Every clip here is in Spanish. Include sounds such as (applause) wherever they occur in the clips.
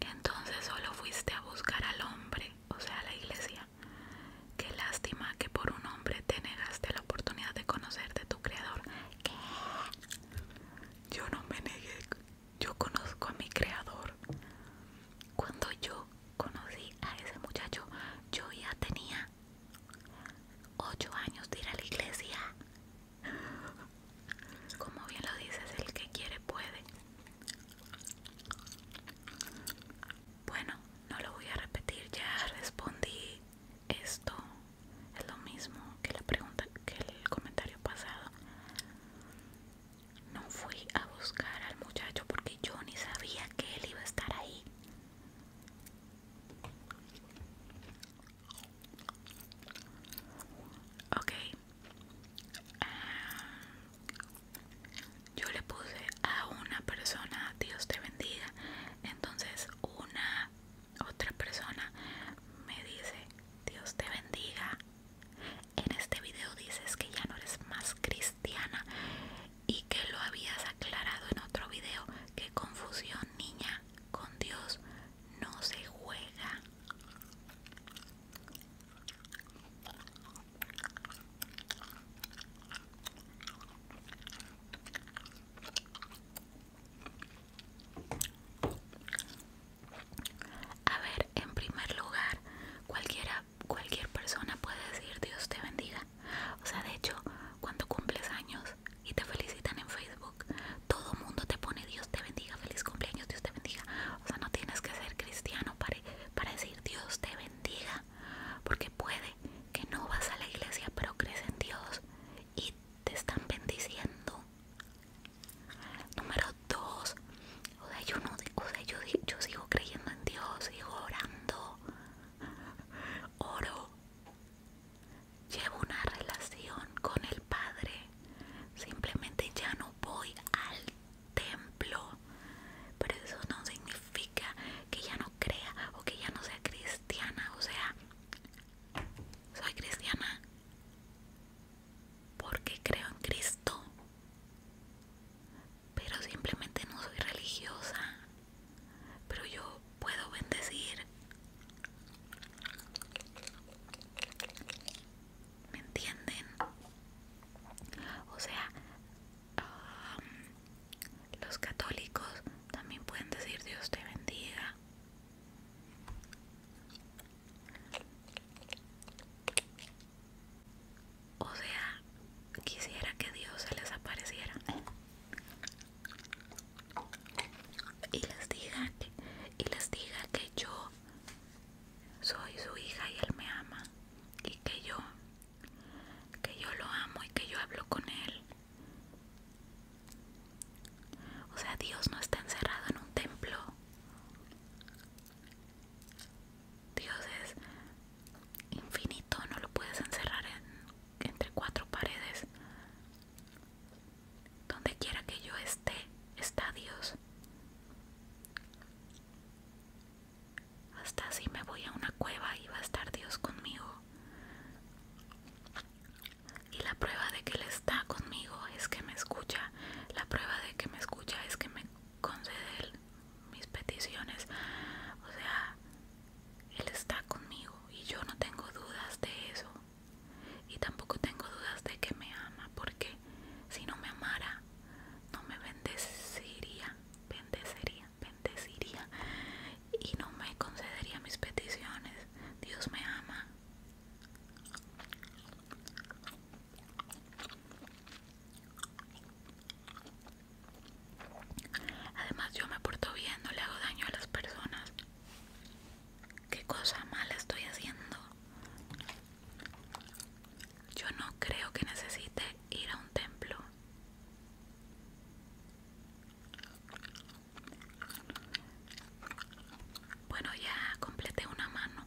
Entonces solo fuiste a buscar al hombre, o sea, a la iglesia. Qué lástima que por un hombre te negaste la oportunidad de conocerte de tu creador. Yo no me negué, yo conozco a mi creador. Cuando yo conocí a ese muchacho, yo ya tenía 8 años de ir a la iglesia. Como bien lo dices, el que quiere puede. Bueno, no lo voy a repetir, ya respondí esto. Es lo mismo que la pregunta que el comentario pasado. No fui a buscar al muchacho porque yo ni sabía que él iba a estar ahí. Ok. Ah, yo le puse a una persona, Dios te bendiga. Entonces una otra persona me dice, Dios te bendiga. En este video dices que ya no eres más cristiana y que lo habías aclarado en otro video. Qué confusión, niña. Con Dios no se juega. A ver, en primer lugar, cualquiera, cualquier persona puede decir Dios te bendiga. O sea, de hecho, cuando cumples años y te felicitan en Facebook, todo mundo te pone Dios te bendiga, feliz cumpleaños, Dios te bendiga. O sea, no tienes que ser cristiano para, para decir Dios te bendiga, porque puede que no vas a la iglesia, pero crees en Dios y te están bendiciendo. Número dos, o sea, yo, o yo sigo creyendo en Dios, sigo orando. Oro llevo una relación con el Padre. Simplemente ya no voy al templo. Pero eso no significa que ya no crea o que ya no sea cristiana. O sea, soy cristiana porque creo en Cristo pero simplemente no soy religiosa. Pero yo puedo bendecir. ¿Me entienden? O sea, los católicos también pueden decir Dios te bendiga. O sea, quisiera que Dios se les apareciera y les diga que, y diga que yo soy su hija y él me ama y que yo que yo lo amo y que yo hablo con él o sea Dios no está encerrado en un templo Dios es infinito, no lo puedes encerrar entre cuatro paredes. Donde quiera que yo esté, está Dios. Hasta si me voy a una cueva y va a estar Dios conmigo. Y la prueba de que Él está conmigo es que me escucha. La prueba de que me escucha es que me concede mis peticiones. O sea, Él está conmigo y yo no tengo dudas de eso. Y tampoco tengo dudas de que me ama, porque si no me amara, no me bendeciría, bendeciría, bendeciría y no me concedería mis peticiones. Dios me ama. Además yo me porto bien, no le hago daño a las personas. ¿Qué cosa mala estoy haciendo? Yo no creo que necesite ir a un templo. Bueno, ya completé una mano.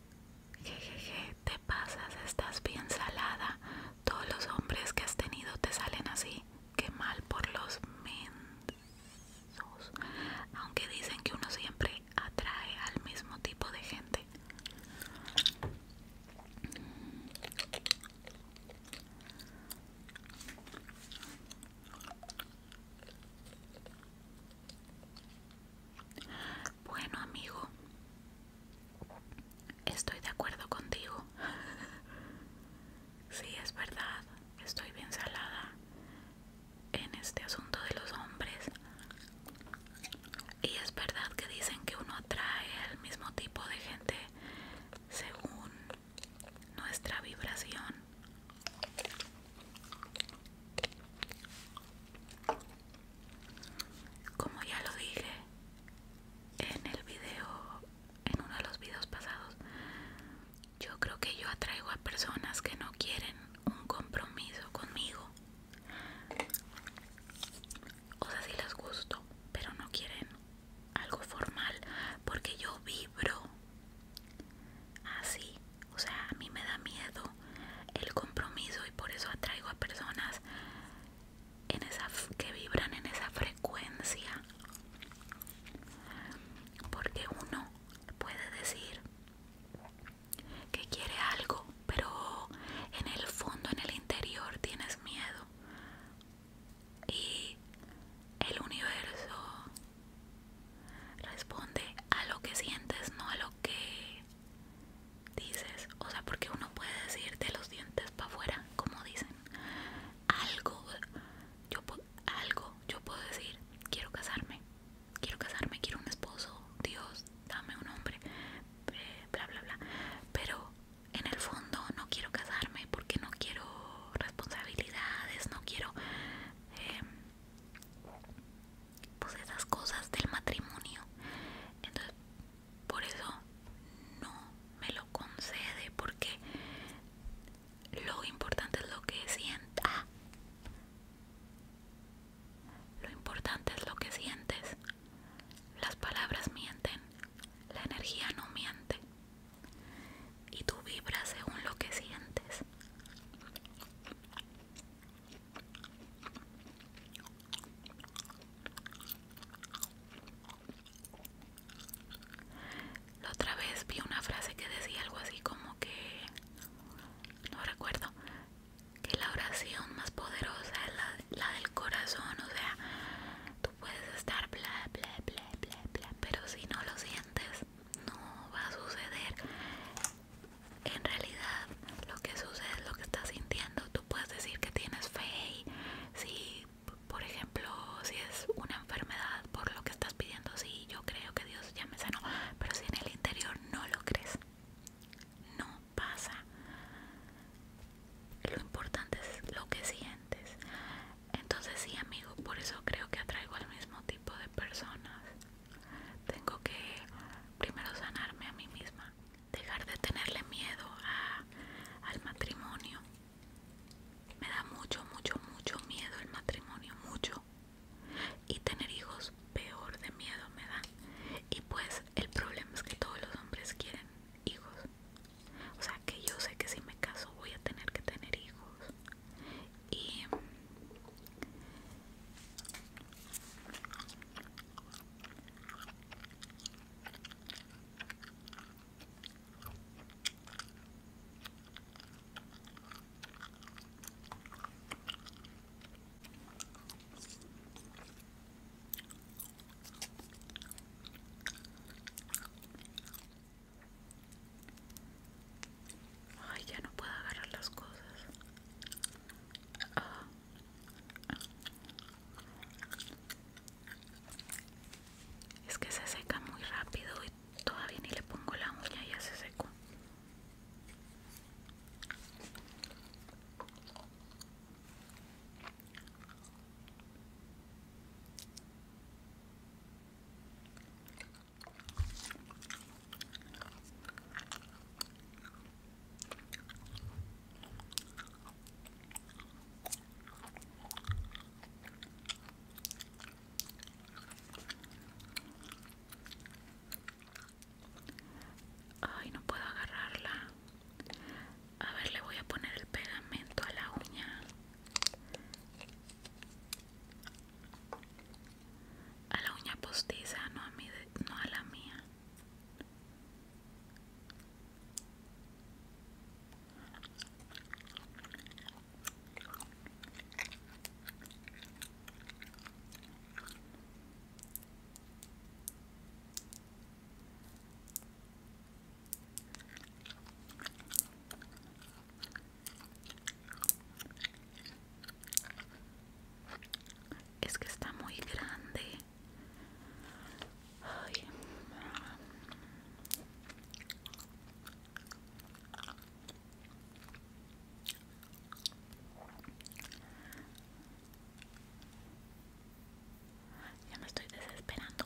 Jejeje, te pasas, estás bien salada. Todos los hombres que has tenido te salen así. Qué mal por los mensos. Aunque dicen que uno siempre atrae al mismo tipo de gente. Bueno amigo, Estoy de acuerdo contigo. (laughs) sí, es verdad. Estoy bien salada en este asunto de los hombres. Y es verdad que dicen que uno atrae al mismo tipo de gente según nuestra vibración como ya lo dije en el video en uno de los videos pasados yo creo que yo atraigo a personas que no quieren un compromiso conmigo o sea si sí les gusto pero no quieren algo formal porque yo vibro así o sea a mí me da miedo el compromiso y por eso atraigo a personas en esa que vibran en esa frecuencia porque uno puede decir que quiere algo pero en el fondo en el interior tienes miedo y el universo responde a lo que sientes no a lo que dices, o sea, porque uno puede decir de los dientes para afuera, como dicen, algo, yo, algo, yo puedo decir, quiero casarme, quiero casarme, quiero un esposo, Dios, dame un hombre, eh, bla, bla, bla, pero en el fondo no quiero casarme porque no quiero responsabilidades, no quiero... Eh, pues esas cosas del matrimonio entonces por eso no me lo concede porque lo importante es lo que sienta lo importante es lo que sientes las palabras mienten la energía no miente y tú vibras según lo que sientes la otra vez vi una frase que decía algo así como que, no recuerdo, que la oración más poderosa es la, del corazón, o sea, tú puedes estar bla, bla, bla, bla, bla, pero si no lo sientes, no va a suceder en realidad lo que sucede es lo que estás sintiendo. Tú puedes decir que tienes fe si, por ejemplo, si es una enfermedad por lo que estás pidiendo, Si yo creo que Dios ya me sanó, pero si en el interior no lo crees, no pasa. Lo importante es lo que sientes. Entonces sí, amigo, por eso creo que atraigo al mismo tipo de personas. Tengo que primero sanarme a mí misma dejar de tenerle miedo al matrimonio. Me da mucho, mucho, mucho miedo al matrimonio, mucho. Y tener hijos peor de miedo me da. Y pues el problema es que todos los hombres quieren hijos. O sea que yo sé que si me caso voy a tener que tener hijos. Y Ay, ya no puedo agarrar las cosas. Ah. Es que se seca muy rápido y todavía ni le pongo la uña y ya se secó. Ay, no puedo agarrarla. A ver, le voy a poner el pegamento a la uña. A la uña postiza, no a, mi no a la mía. Es que está muy grande. Ya me estoy desesperando.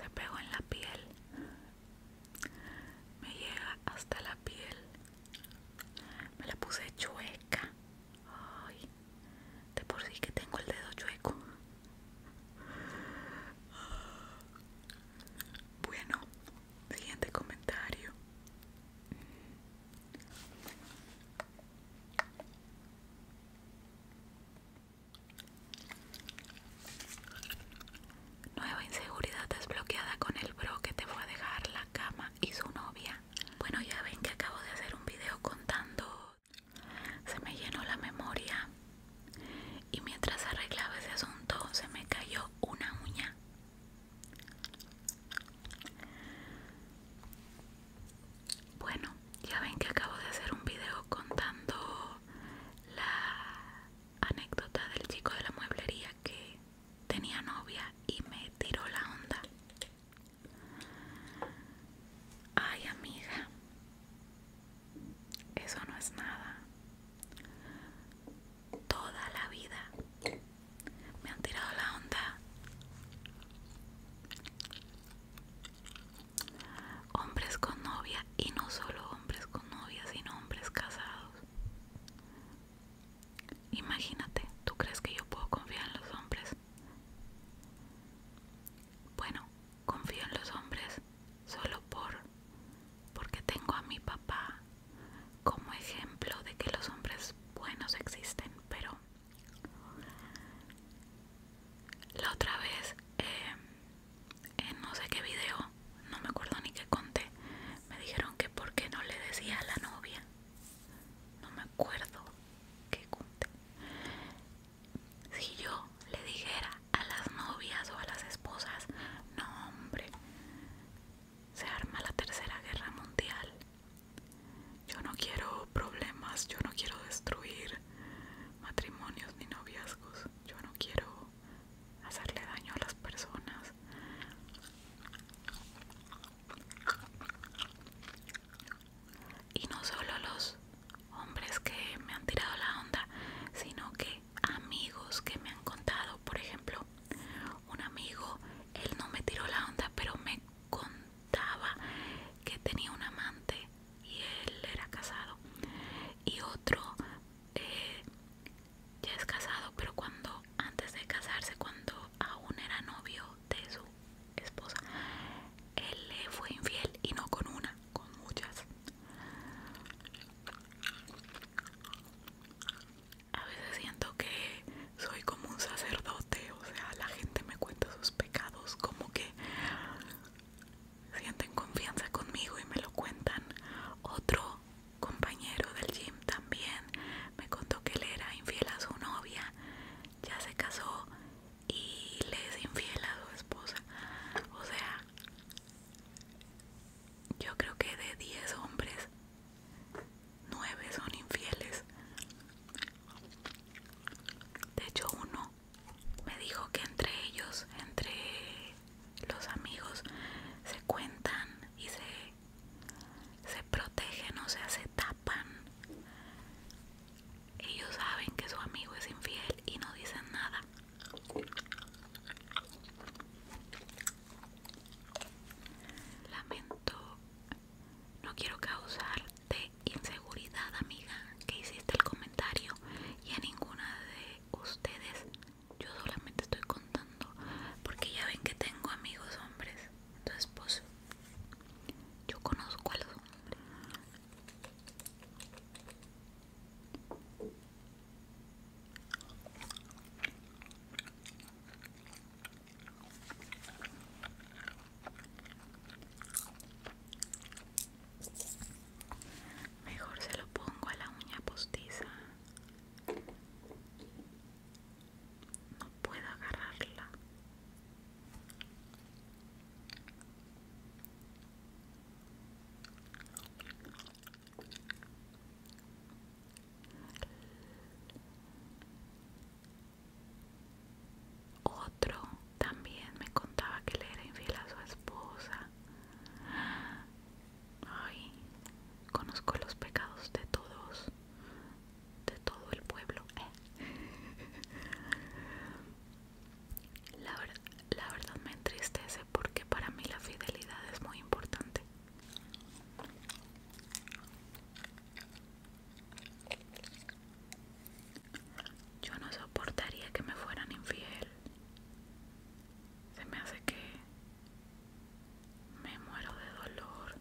Se pegó en la piel. Me llega hasta la piel. Me la puse chueca. de por sí que tengo el dedo chueco. Bueno, Siguiente comentario. Nueva inseguridad desbloqueada con el bro que te fue a dejar la cama y su novia. Bueno, ya ven que acabo de hacer un video contando. Se me llenó la memoria y mientras arreglaba ese asunto se me cayó una uña. Bueno, ya ven que acabo de hacer un video contando la anécdota del chico de la mueblería que tenía novia y me tiró la onda. Ay amiga, eso no es nada toda la vida. Me han tirado la onda. Hombres con novia y no solo hombres con novia, sino hombres casados. Imagínate, ¿tú crees que yo puedo confiar en los hombres? Bueno, confío en los hombres solo por porque tengo a mi papá como ejemplo de que los hombres buenos existen, pero la otra vez, eh, en no sé qué video, no me acuerdo ni qué conté, me dijeron que por qué no le decía a la novia, no me acuerdo qué conté. Si yo le dijera a las novias o a las esposas, no hombre, se arma la tercera guerra mundial. Yo no quiero problemas, yo no quiero destruir matrimonios ni noviazgos, yo no quiero hacerle daño a las personas. Y no solo los hombres que me han tirado la onda, sino que amigos que me han contado, por ejemplo, un amigo, él no me tiró la onda, pero me contaba que tenía un amante y él era casado. Y otro eh, ya es casado, pero cuando antes de casarse, cuando aún era novio de su esposa, él le fue infiel y no con una, con muchas. A veces siento que soy como un sacerdote, o sea, la gente me cuenta sus pecados, como que sienten confianza conmigo y me lo cuentan. Otro compañero del gym también me contó que él era infiel a su novia, ya se casó y le es infiel a su esposa. O sea, yo creo que de 10 hombres, 9 son infieles. De hecho, uno me dijo que entre ellos, entre los amigos, se cuentan y se, se protegen, o sea, se tapan. Ellos saben que su amigo es infiel y no dicen nada. Lamento, no quiero causarte inseguridad, amiga, que hiciste el comentario y a ninguna de ustedes. Yo solamente estoy contando porque ya ven que tengo amigos hombres. tu esposo, yo conozco a los hombres. Mejor se lo pongo a la uña postiza. No puedo agarrarla. Otro también me contaba que le era infiel a su esposa. Ay, conozco los pecados de todos, de todo el pueblo. (laughs) La, la verdad me entristece porque para mí la fidelidad es muy importante. Yo no soportaría que me fueran infiel. Se me hace que me muero de dolor.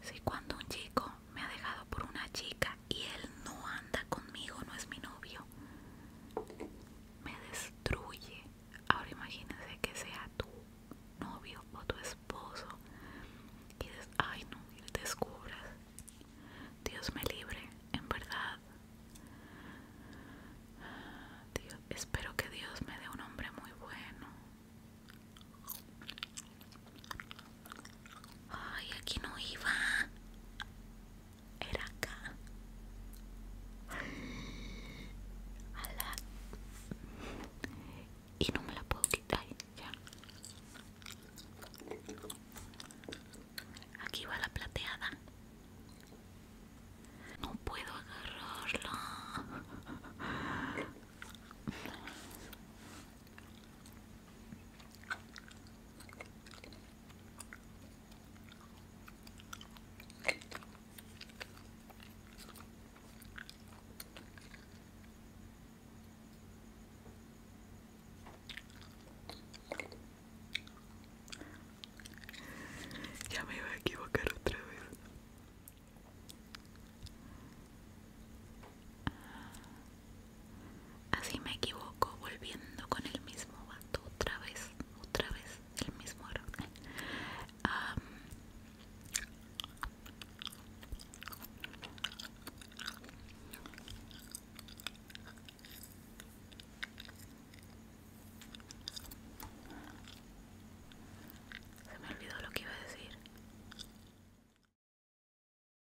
Si cuando un chico me ha dejado por una chica y él no anda conmigo, no es mi novio. Me destruye. Ahora imagínense que sea tu novio o tu esposo y ay no, y descubras. Dios me libre, en verdad. espero que Dios me dé un hombre muy bueno. Ay, aquí no iba. Era acá. Y no me la puedo quitar. Ya. Aquí va la plateada. No puedo agarrarlo ya me iba a equivocar otra vez. Así me equivoco volviendo con el mismo vato otra vez, otra vez, el mismo error. se me olvidó lo que iba a decir.